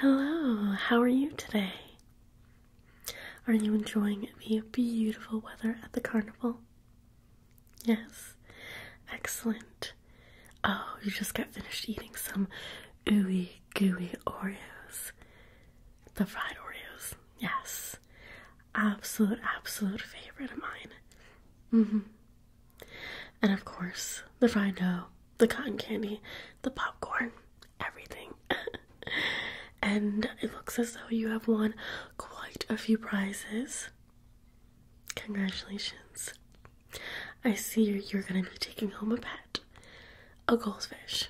Hello, how are you today? Are you enjoying the beautiful weather at the carnival? Yes, excellent. Oh, you just got finished eating some ooey gooey Oreos. The fried Oreos, yes. Absolute, absolute favorite of mine. hmm. And of course, the fried dough, the cotton candy, the popcorn, everything. and it looks as though you have won quite a few prizes. Congratulations. I see you're going to be taking home a pet, a goldfish.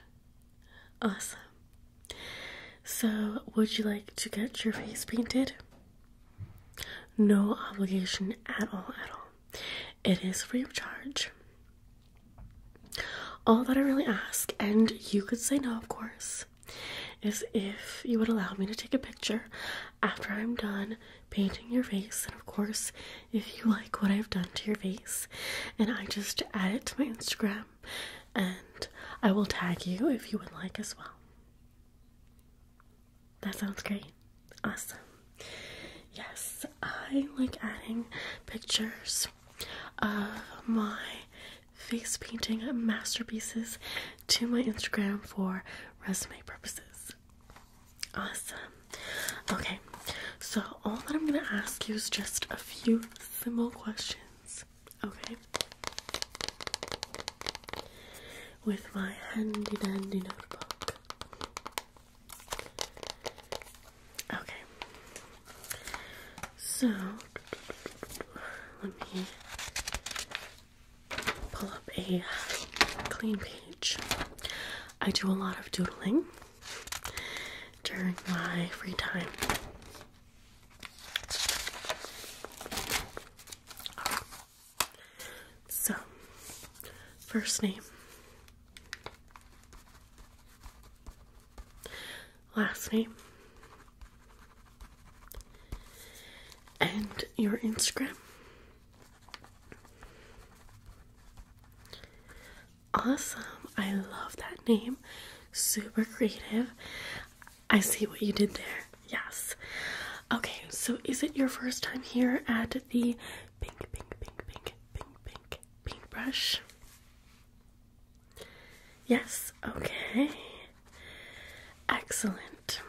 Awesome. So, would you like to get your face painted? No obligation at all, at all. It is free of charge. All that I really ask, and you could say no, of course, is if you would allow me to take a picture after I'm done painting your face, and of course, if you like what I've done to your face, and I just add it to my Instagram, and I will tag you if you would like as well. That sounds great. Awesome. Yes, I like adding pictures of my face painting masterpieces to my Instagram for resume purposes. Awesome. Okay, so all that I'm going to ask you is just a few simple questions. Okay? With my handy dandy notebook. Okay. So let me pull up a clean page. I do a lot of doodling during my free time. So, first name, last name, and your Instagram. Awesome. I love that name. Super creative. I see what you did there. Yes. Okay, so is it your first time here at the pink, pink, pink, pink, pink, pink, pink brush. Yes, okay. Excellent.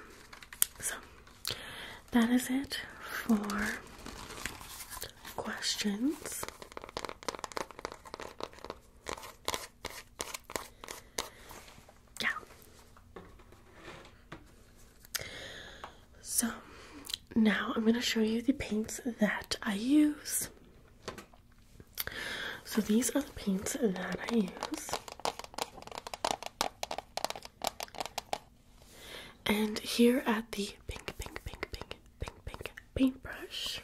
So that is it for questions. Yeah. So now I'm going to show you the paints that I use. So these are the paints that I use. And here at the pink, pink, pink, pink, pink, pink paintbrush,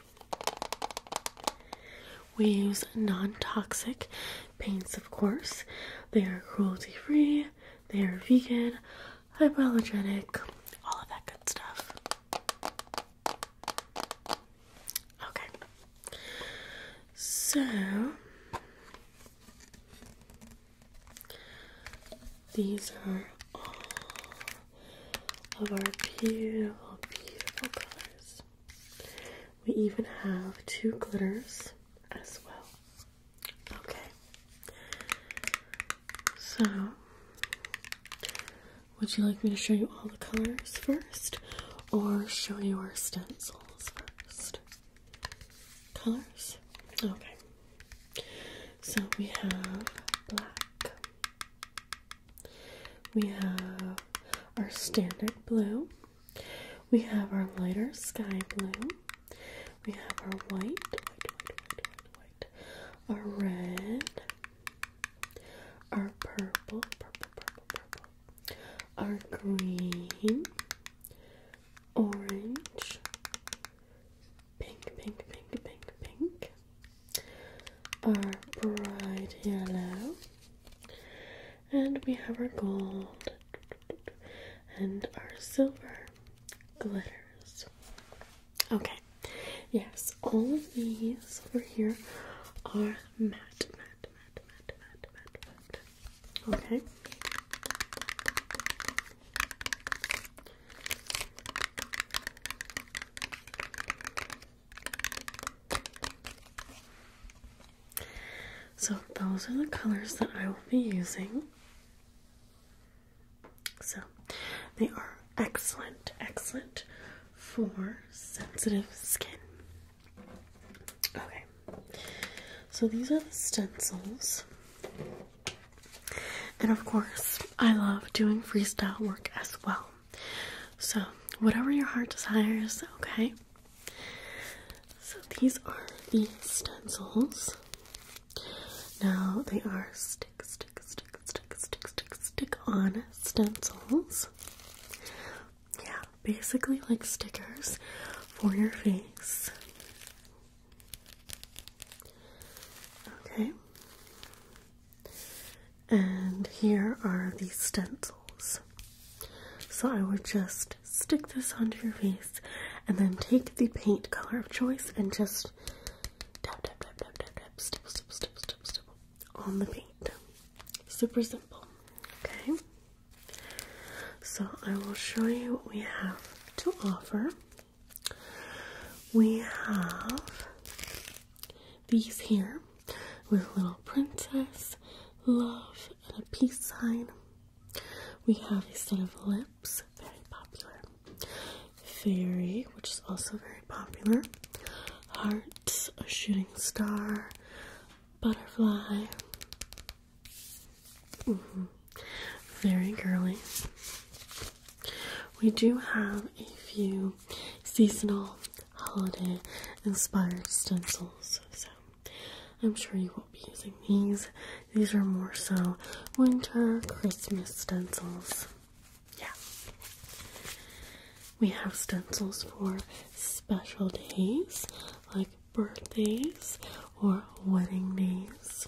we use non toxic paints, of course. They are cruelty free, they are vegan, hypoallergenic, all of that good stuff. Okay. So these are all of our beautiful, beautiful colors. We even have two glitters as well. Okay. So, would you like me to show you all the colors first or show you our stencils first? Colors? Okay. So, we have black. We have our standard blue. We have our lighter sky blue. We have our white, our red, our purple, our green, orange, pink, pink, pink, pink, pink, our bright yellow, and we have our gold and our silver glitters. Okay, yes, all of these over here are matte, matte, matte, matte, matte, matte, matte. Okay. So, those are the colors that I will be using. So they are excellent, excellent for sensitive skin. Okay, so these are the stencils. And of course, I love doing freestyle work as well. So, whatever your heart desires, okay? So these are the stencils. Now they are stick, stick, stick, stick, stick, stick, stick on stencils. Yeah, basically like stickers for your face. Okay. And here are the stencils. So I would just just stick this onto your face and then take the paint color of choice and just tap tap tap tap tap tap stipple stipple stipple stipple stipple on the paint. Super simple. Okay. So I will show you what we have to offer. We have these here with a little princess, love, and a peace sign. We have a set of lips, very popular. Fairy, which is also very popular. Heart, a shooting star, butterfly. Mm-hmm. Very girly. We do have a few seasonal holiday inspired stencils. So I'm sure you won't be using these. These are more so winter Christmas stencils. Yeah. We have stencils for special days like birthdays or wedding days.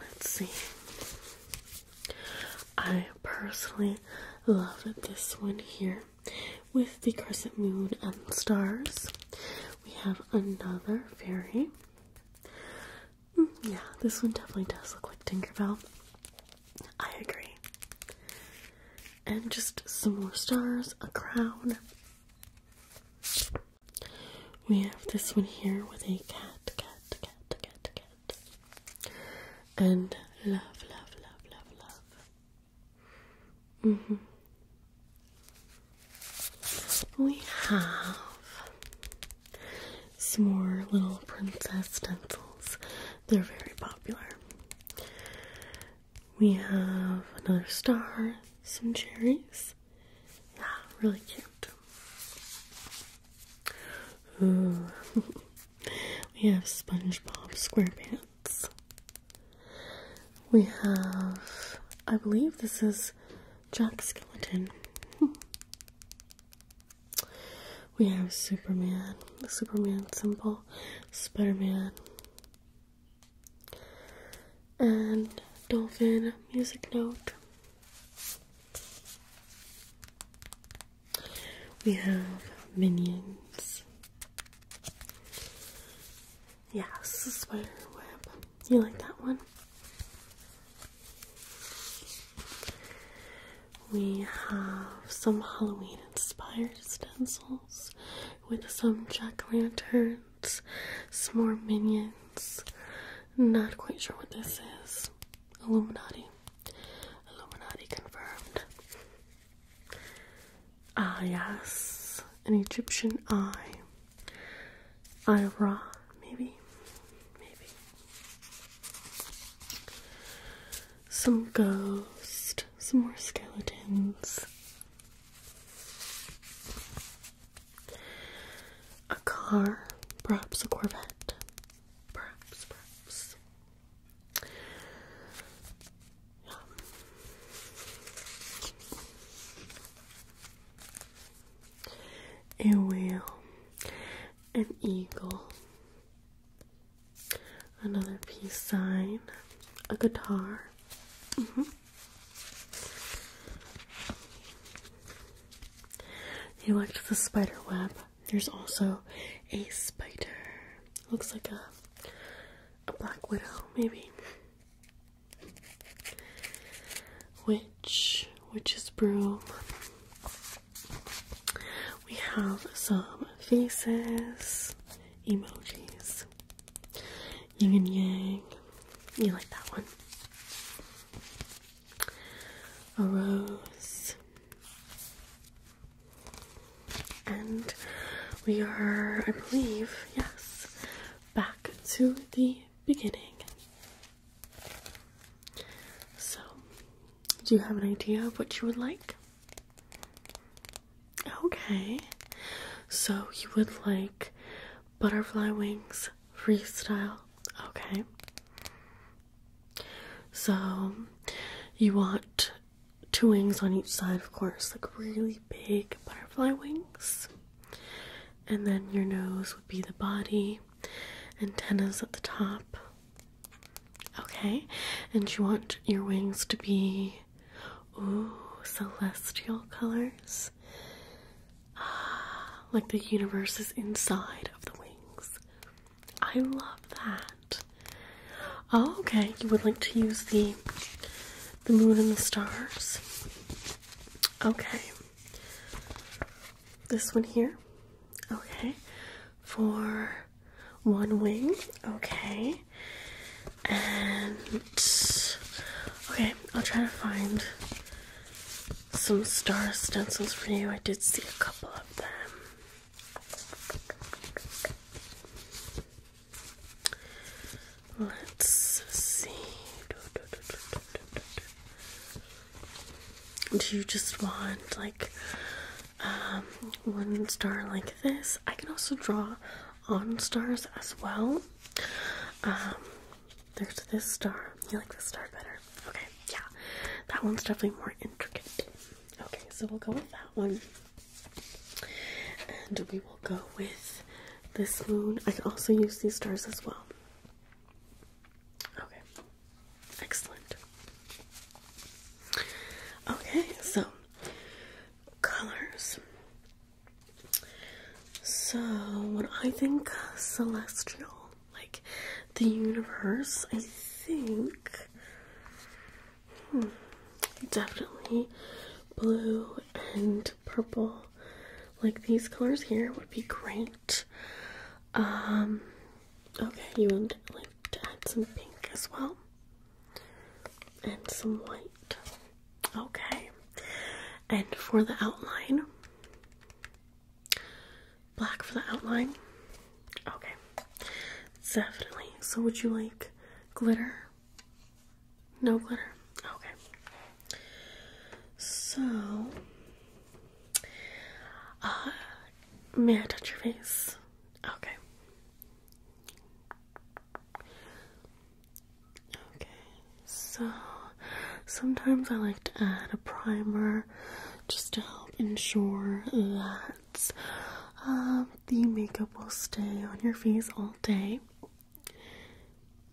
Let's see. I personally love this one here with the crescent moon and stars. We have another fairy. Mm, yeah, this one definitely does look like Tinkerbell. I agree. And just some more stars, a crown. We have this one here with a cat, cat, cat, cat, cat, and love, love, love, love, love. -hmm. We have some more little princess stencils. They're very popular. We have another star, some cherries. Yeah, really cute. We have SpongeBob SquarePants. We have, I believe this is Jack Skeleton. we have Superman, the Superman symbol, Spiderman, and Dolphin music note. We have minions. Yes, spider web. You like that one? We have some Halloween inspired stencils with some jack o' lanterns, some more minions. Not quite sure what this is. Illuminati. Illuminati confirmed. Ah, yes. An Egyptian eye. Eye of Ra, maybe. Maybe. Some ghosts, Some more skeletons. A car. Perhaps a Corvette. Perhaps, perhaps. A whale, an eagle, another peace sign, a guitar. Mm -hmm. You watch the spider web. There's also a spider. Looks like a a black widow, maybe. Witch, witch's broom. We have some faces, emojis, yin and yang. You like that one? A rose, and we are, I believe, yes, back to the beginning. So, do you have an idea of what you would like? Okay, so you would like butterfly wings freestyle. Okay, so you want two wings on each side, of course, like really big butterfly wings. And then your nose would be the body, antennas at the top. Okay, and you want your wings to be ooh celestial colors. Ah, like the universe is inside of the wings. I love that. Oh, okay, you would like to use the the moon and the stars. Okay. This one here. Okay. For one wing. Okay. And okay, I'll try to find some star stencils for you. I did see a couple of them. Let's see. Do you just want like um, one star like this? I can also draw on stars as well. Um, there's this star. You like this star better? Okay, yeah. That one's definitely more intricate. Okay, so we'll go with that one. And we will go with this moon. I can also use these stars as well. Okay, excellent. Okay, so colors. So, what I think celestial like the universe, I think. Hmm, definitely blue and purple. Like these colors here would be great. Um, okay, you want like to add some pink as well, and some white. Okay, and for the outline, black for the outline. Okay, definitely. So, would you like glitter? No glitter? Okay. So, uh, may I touch your face? Okay. Okay, so sometimes I like to add a primer just to help ensure that um, the makeup will stay on your face all day.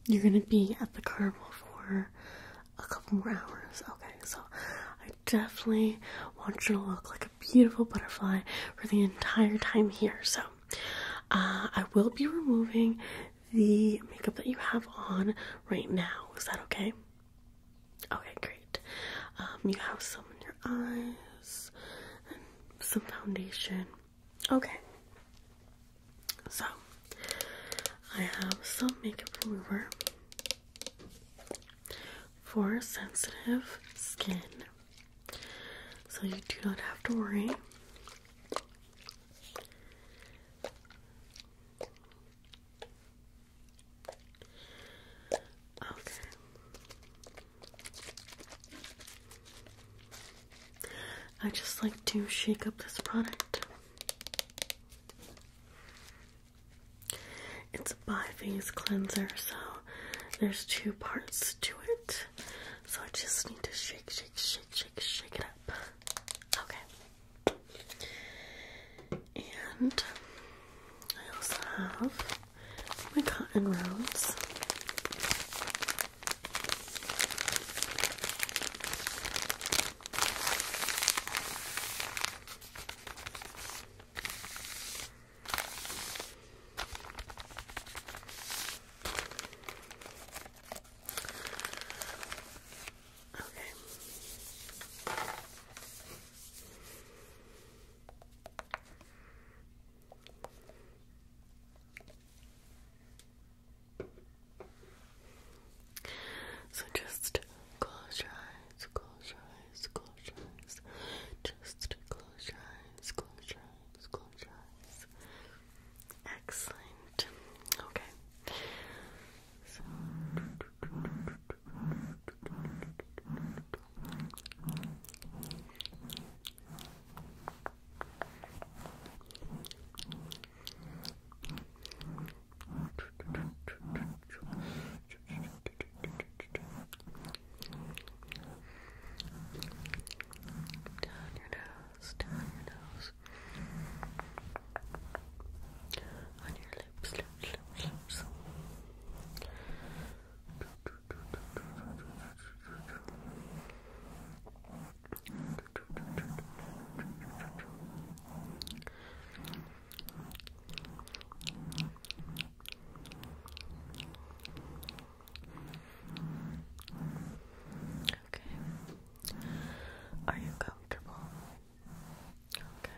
You're gonna be at the carnival for a couple more hours. Okay, so I definitely want you to look like a beautiful butterfly for the entire time here. So uh, I will be removing the makeup that you have on right now. Is that okay? Okay, great. Um, you have some in your eyes some foundation. Okay. So, I have some makeup remover for sensitive skin. So you do not have to worry. Okay. I just like to shake up this product. It's a bi-phase cleanser, so there's two parts to it. So I just need to shake, shake, shake, shake, shake it up. Okay. And I also have my cotton rounds. Okay. So just close your eyes, close your eyes, close your eyes. Just close your eyes, close your eyes, close your eyes. Excellent. Okay. So down your nose, down your nose, on your lips, lips, lips, lips. Okay. Are you comfortable? Okay.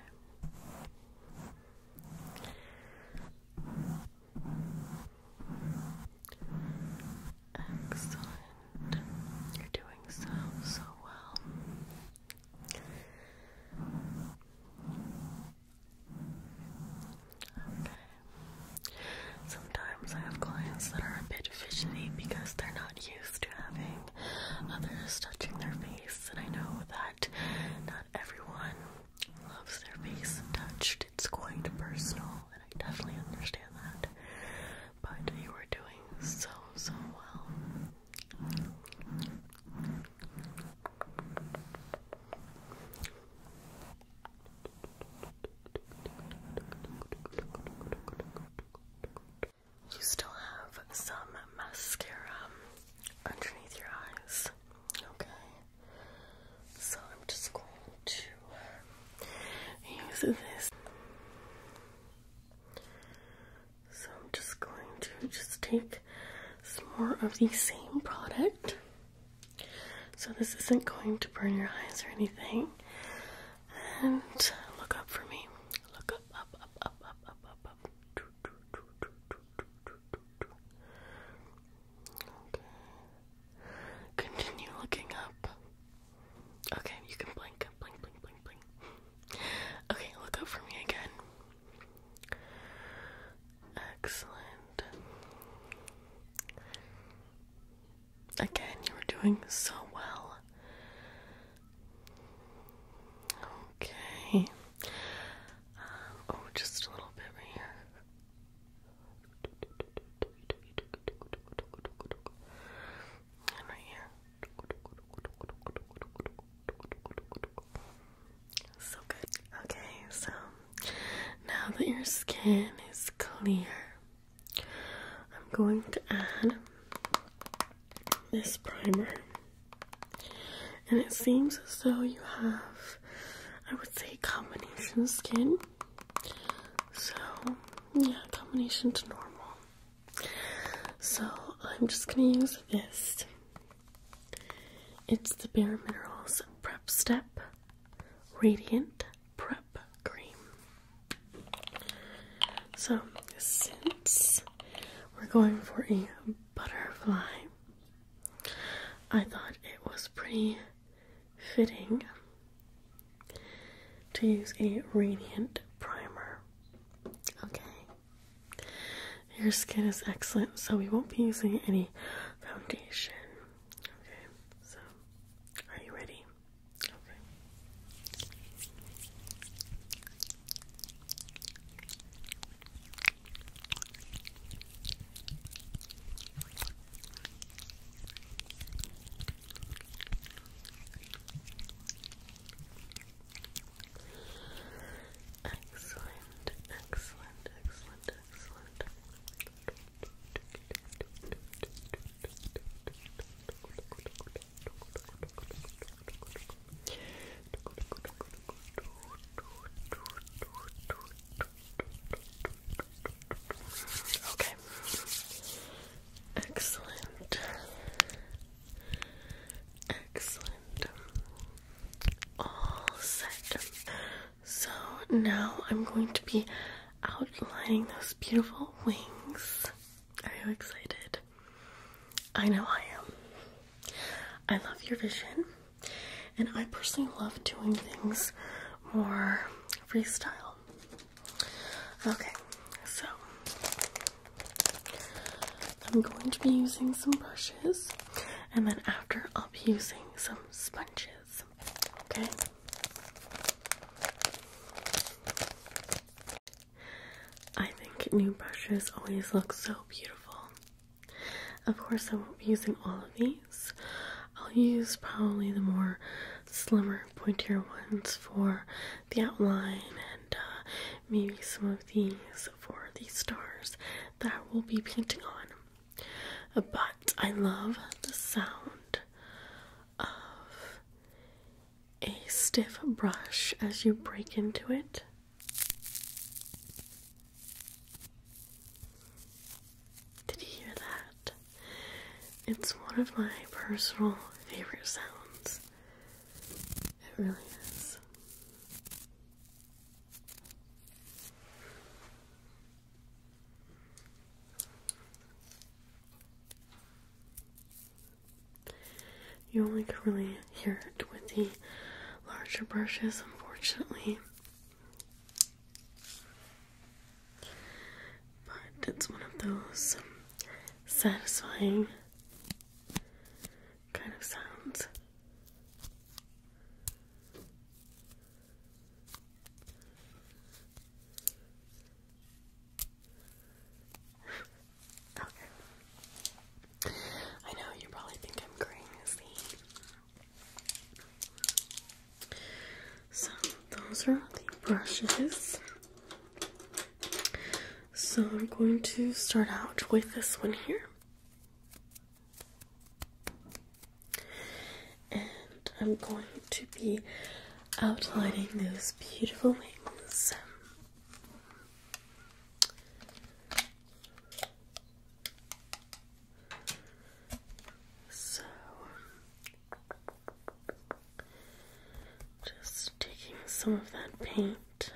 Excellent. You're doing so, so well. Okay. Sometimes I have clients that are a bit fidgety because they're not used to having others touching their face, and I know that not everyone loves their face touched. It's quite personal, and I definitely understand that. But you are doing so, so well. You still have some mascara underneath your eyes. Okay. So I'm just going to use this. So I'm just going to just take some more of the same product. So this isn't going to burn your eyes or anything. And look up for me. Look up, up, up, up, up, up, up, up. Continue looking up. Okay, you can blink, blink, blink, blink, blink. Okay, look up for me again. Excellent. Again, you were doing so well. Okay. Um, oh, just a little bit right here. And right here. So good. Okay, so now that your skin is clear, I'm going to add this primer. And it seems as though you have, I would say, combination skin. So, yeah, combination to normal. So, I'm just going to use this. It's the Bare Minerals Prep Step Radiant Prep Cream. So, since we're going for a butterfly. I thought it was pretty fitting to use a radiant primer. Okay. Your skin is excellent, so we won't be using any foundation. Okay, so are you ready? Okay. Excellent, excellent, excellent, excellent. Okay. Excellent. Excellent. All set. So now I'm going to be outlining those beautiful wings. Are you excited? I know I am. I love your vision, and I personally love doing things more freestyle. Okay, so I'm going to be using some brushes, and then after, I'll be using some sponges. Okay? I think new brushes always look so beautiful. Of course, I won't be using all of these. I'll use probably the more slimmer, pointier ones for the outline and uh, maybe some of these for the stars that I will be painting on. But I love the sound of a stiff brush as you break into it. Did you hear that? It's one of my personal favorite sounds. It really is. You only can really hear it with the larger brushes, unfortunately. But it's one of those um, satisfying kind of sounds. Okay. I know you probably think I'm crazy. So those are the brushes. So I'm going to start out with this one here. And I'm going to be outlining those beautiful wings. So, just taking some of that paint.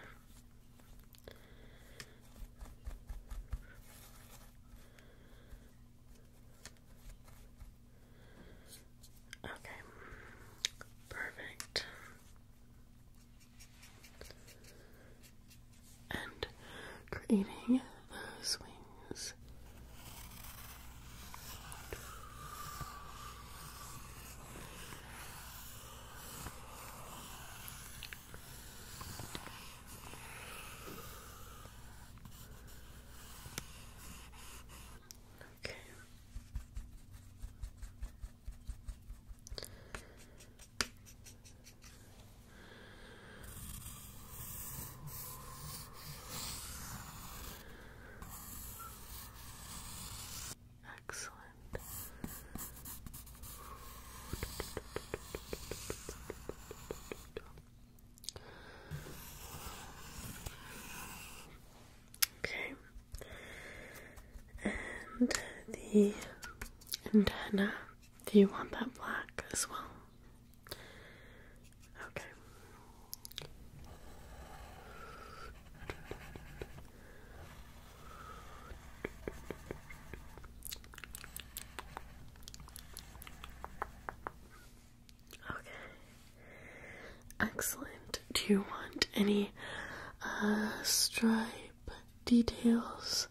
Okay, perfect and creating those wings. Okay. Excellent. Okay, and the antenna. Do you want that black as well? Okay. Okay. Excellent. Do you want any uh, stripe details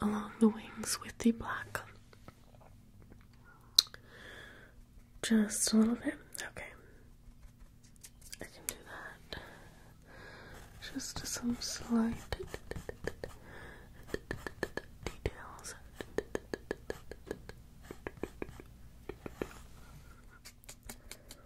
along the wings with the black. Just a little bit. Okay. I can do that. Just some slight details. Okay.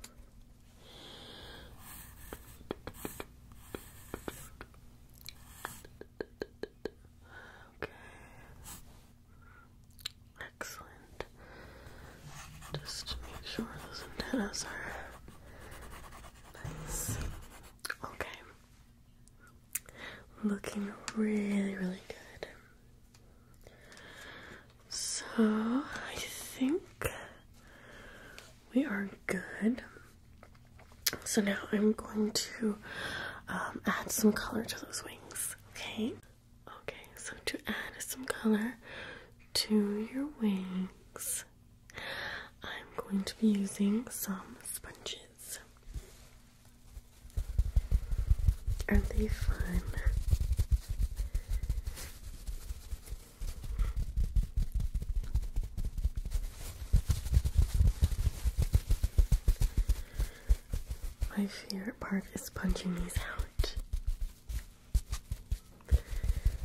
Excellent. Just make sure those antennas are nice. Okay. Looking really, really good. So I think we are good. So now I'm going to um, add some color to those wings, okay? Okay, so to add some color to your wings, I'm going to be using some sponges. Are they fun? My favorite part is punching these out.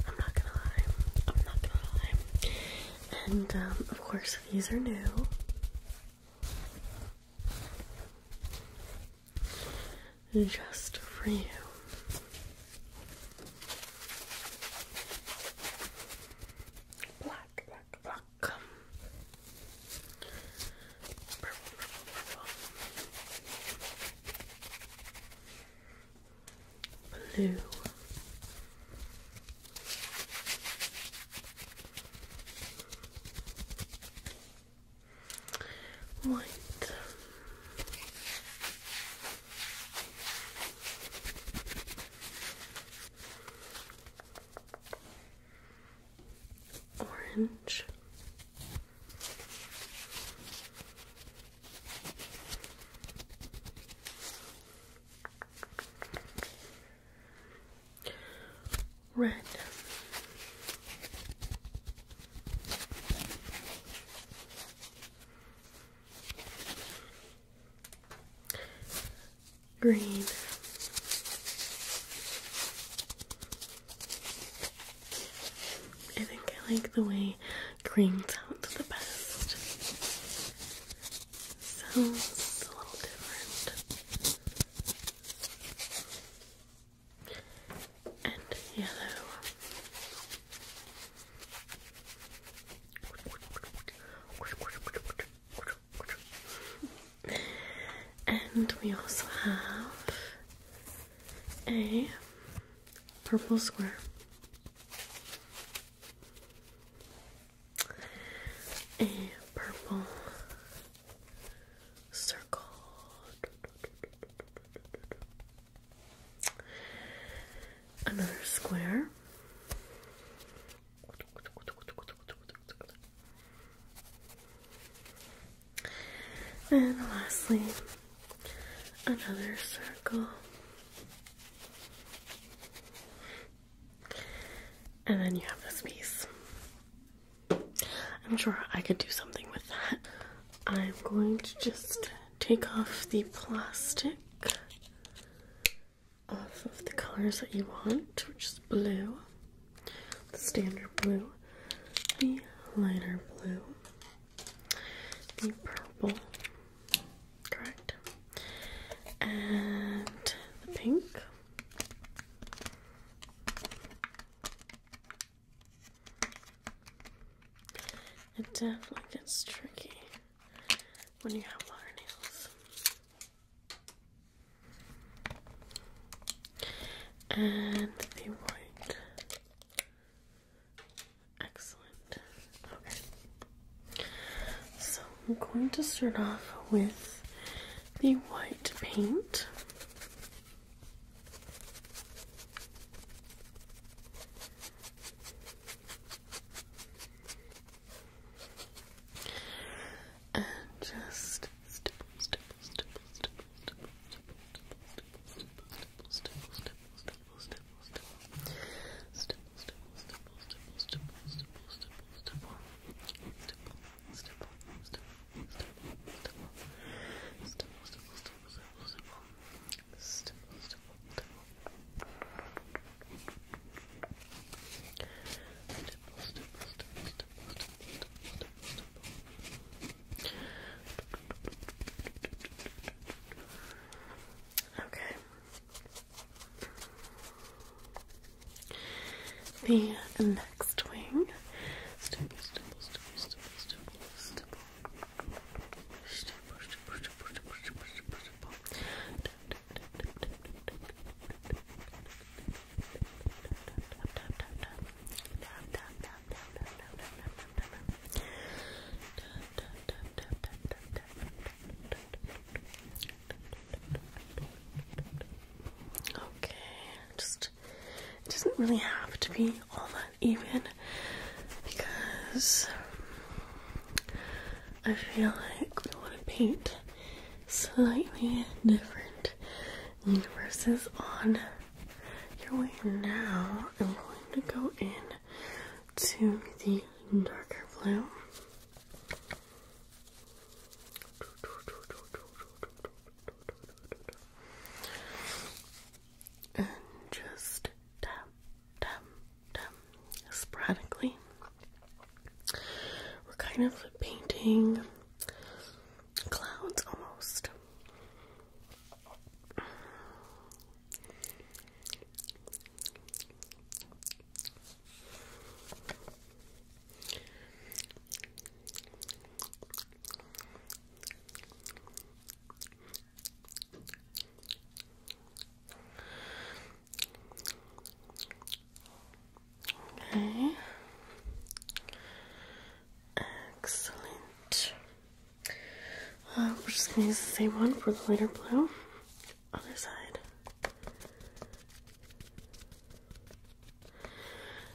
I'm not gonna lie. I'm not gonna lie. And um, of course, these are new just for you. Black, black, black. Blue. Right. Orange. Red Green. I think I like the way green sounds the best. Sounds a little different and yellow. And we also have a purple square. A purple circle. Another square. And lastly, another circle. And then you have this piece. I'm sure I could do something with that. I'm going to just take off the plastic off of the colors that you want, which is blue, the standard blue, the lighter blue, the purple, correct, and the pink. It definitely gets tricky when you have water nails. And the white. Excellent. Okay. So I'm going to start off with the white paint. And just stipple, stipple, stipple, stipple, stipple, stipple, stipple, stipple, stipple, stipple, stipple, stipple, stipple, stipple, stipple, stipple, stipple, stipple, Okay. The um, next wing. Okay, just it doesn't really have to be all that even because I feel like we want to paint slightly different universes on your way. Now I'm going to go in to the darker blue and just tap, tap, tap sporadically. We're kind of painting clouds almost. Okay. Excellent. Uh, we're just gonna use the same one for the lighter blue. Other side.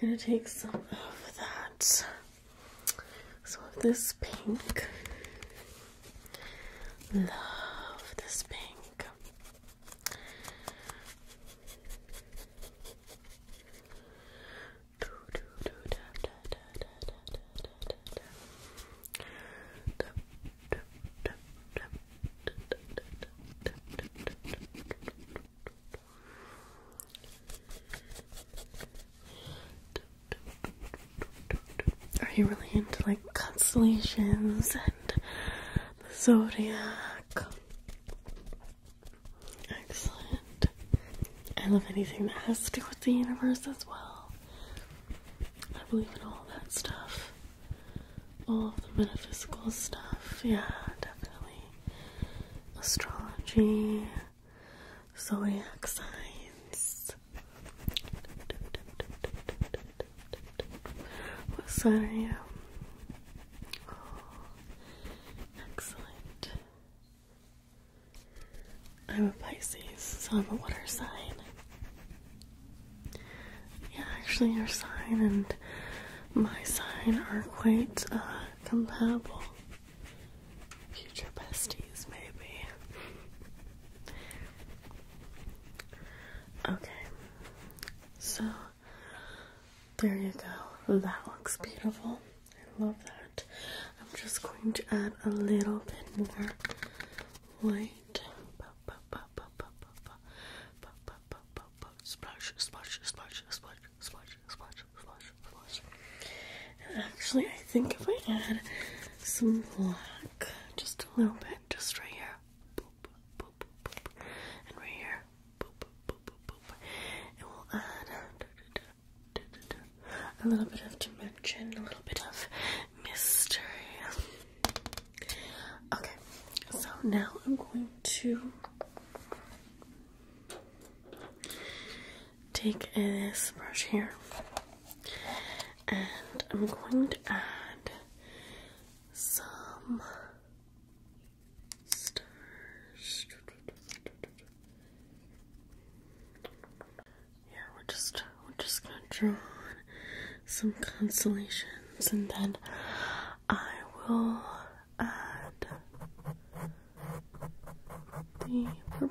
We're going to take some of that, So of this pink. Love this pink. Are you really into like constellations and the zodiac? Excellent. I love anything that has to do with the universe as well. I believe in all that stuff. All the metaphysical stuff. Yeah, definitely. Astrology, zodiac signs. What sign are you? excellent. I'm a Pisces, so I'm a water sign. Yeah, actually, your sign and my sign are quite uh, compatible. Future besties, maybe. Okay, so there you go. That looks beautiful. I love that. I'm just going to add a little bit more white. Splash, splash, splash, splash, splash, splash, splash, splash. And actually, I think if I add some black, just a little bit, just right here, and right here, Boop, will add a little bit of dimension, a little bit of mystery. Okay, so now I'm going to take this brush here and I'm going to add some yeah, we're just we're just gonna draw on some constellations, and then I will add the purple.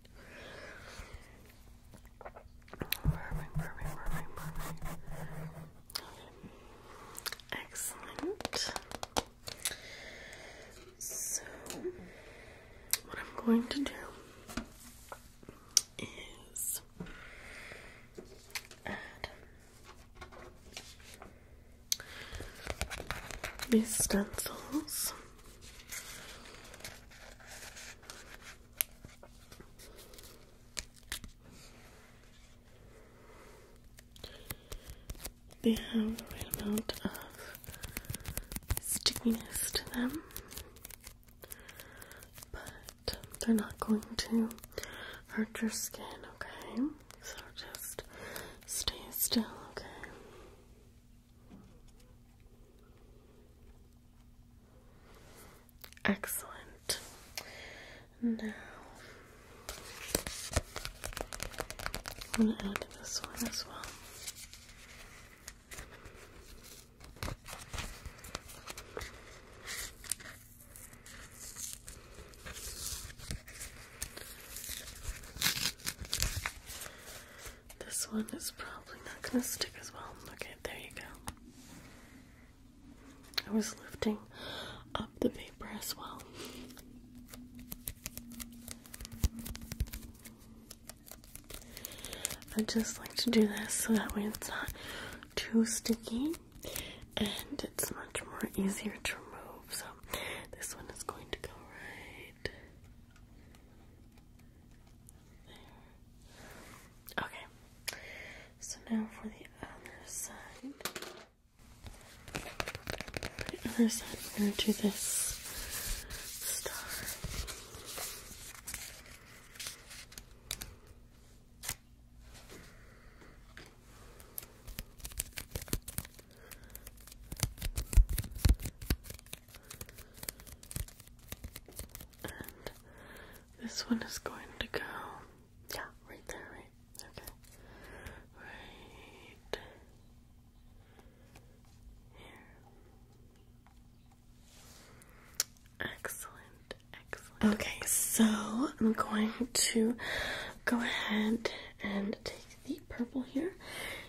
Perfect, perfect, So, what I'm going to do is add these stencils. They have the right amount of stickiness to them, but they're not going to hurt your skin, okay? So just stay still, okay? Excellent. Now I'm going to add this one as well. This one is probably not going to stick as well. Okay, there you go. I was lifting up the paper as well. I just like to do this so that way it's not too sticky and it's much more easier to remove. So this one is going to go right Okay. So now for the other side. other side, we're going to do this star this one is going to go, yeah, right there, right? Okay. Right here. Excellent, excellent. Okay, so I'm going to go ahead and take the purple here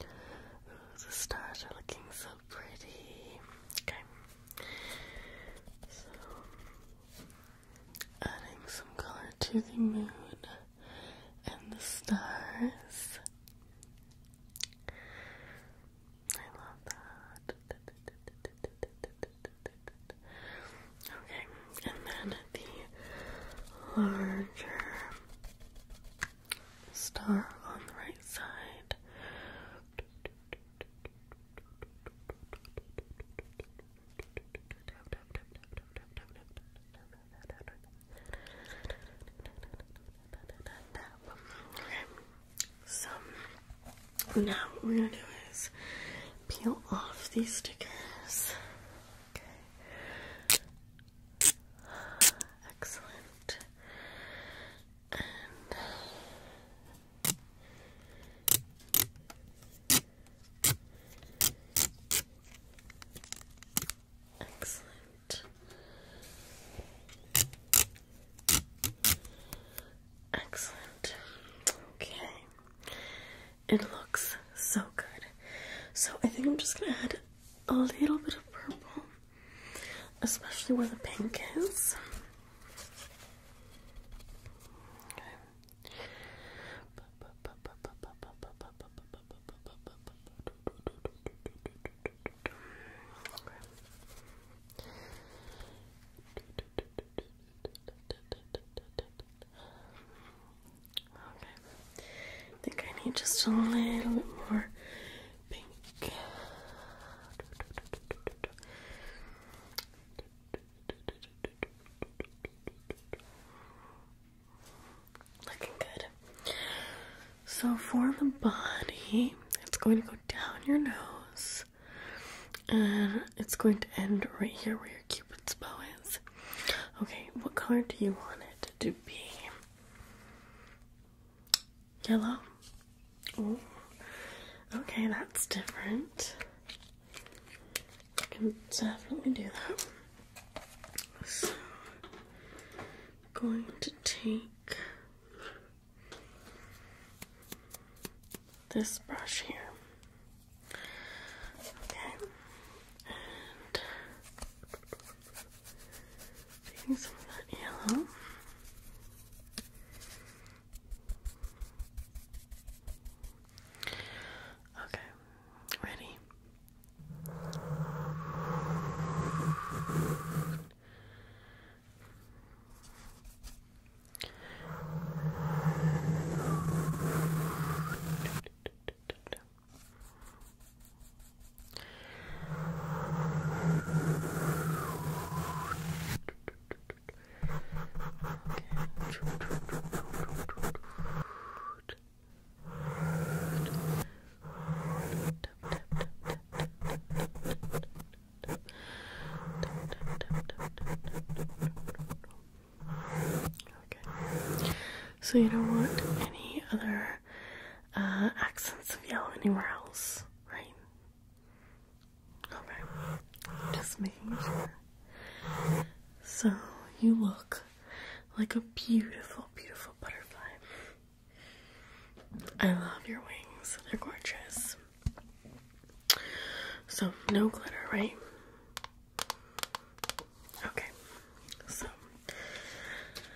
the stars are looking so pretty. Okay. So, adding some color to the moon and the stars. I love that. Okay, and then the larger star on the right side. Okay, so now what we're gonna do is peel off these stickers. Okay. Excellent. Excellent. Excellent. Okay. It looks so good. So I think I'm just going to add a little bit of purple especially where the pink is. Okay. Okay. I think I need just a little bit more pink. Looking good. So for the body, it's going to go down your nose and it's going to end right here where your cupid's bow is. Okay, what color do you want it to be? Yellow. okay, that's different. I can do that. So, going to take this brush here. Okay, Taking some of that yellow. Okay, ready? So you don't want any other uh, accents of yellow anywhere else, right? Okay, just making sure. So you look like a beautiful, beautiful butterfly. I love your wings, they're gorgeous. So, no glitter, right? Okay, so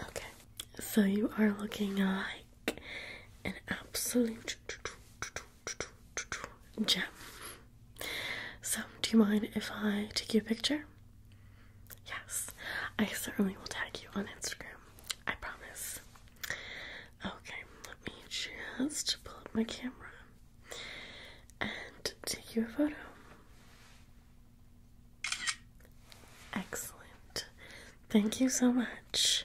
Okay, so you are looking like an absolute gem. So, do you mind if I take your picture? Yes, I certainly will tag you on Instagram. I promise. Okay, let me just pull up my camera and take you a photo. Excellent. Thank you so much.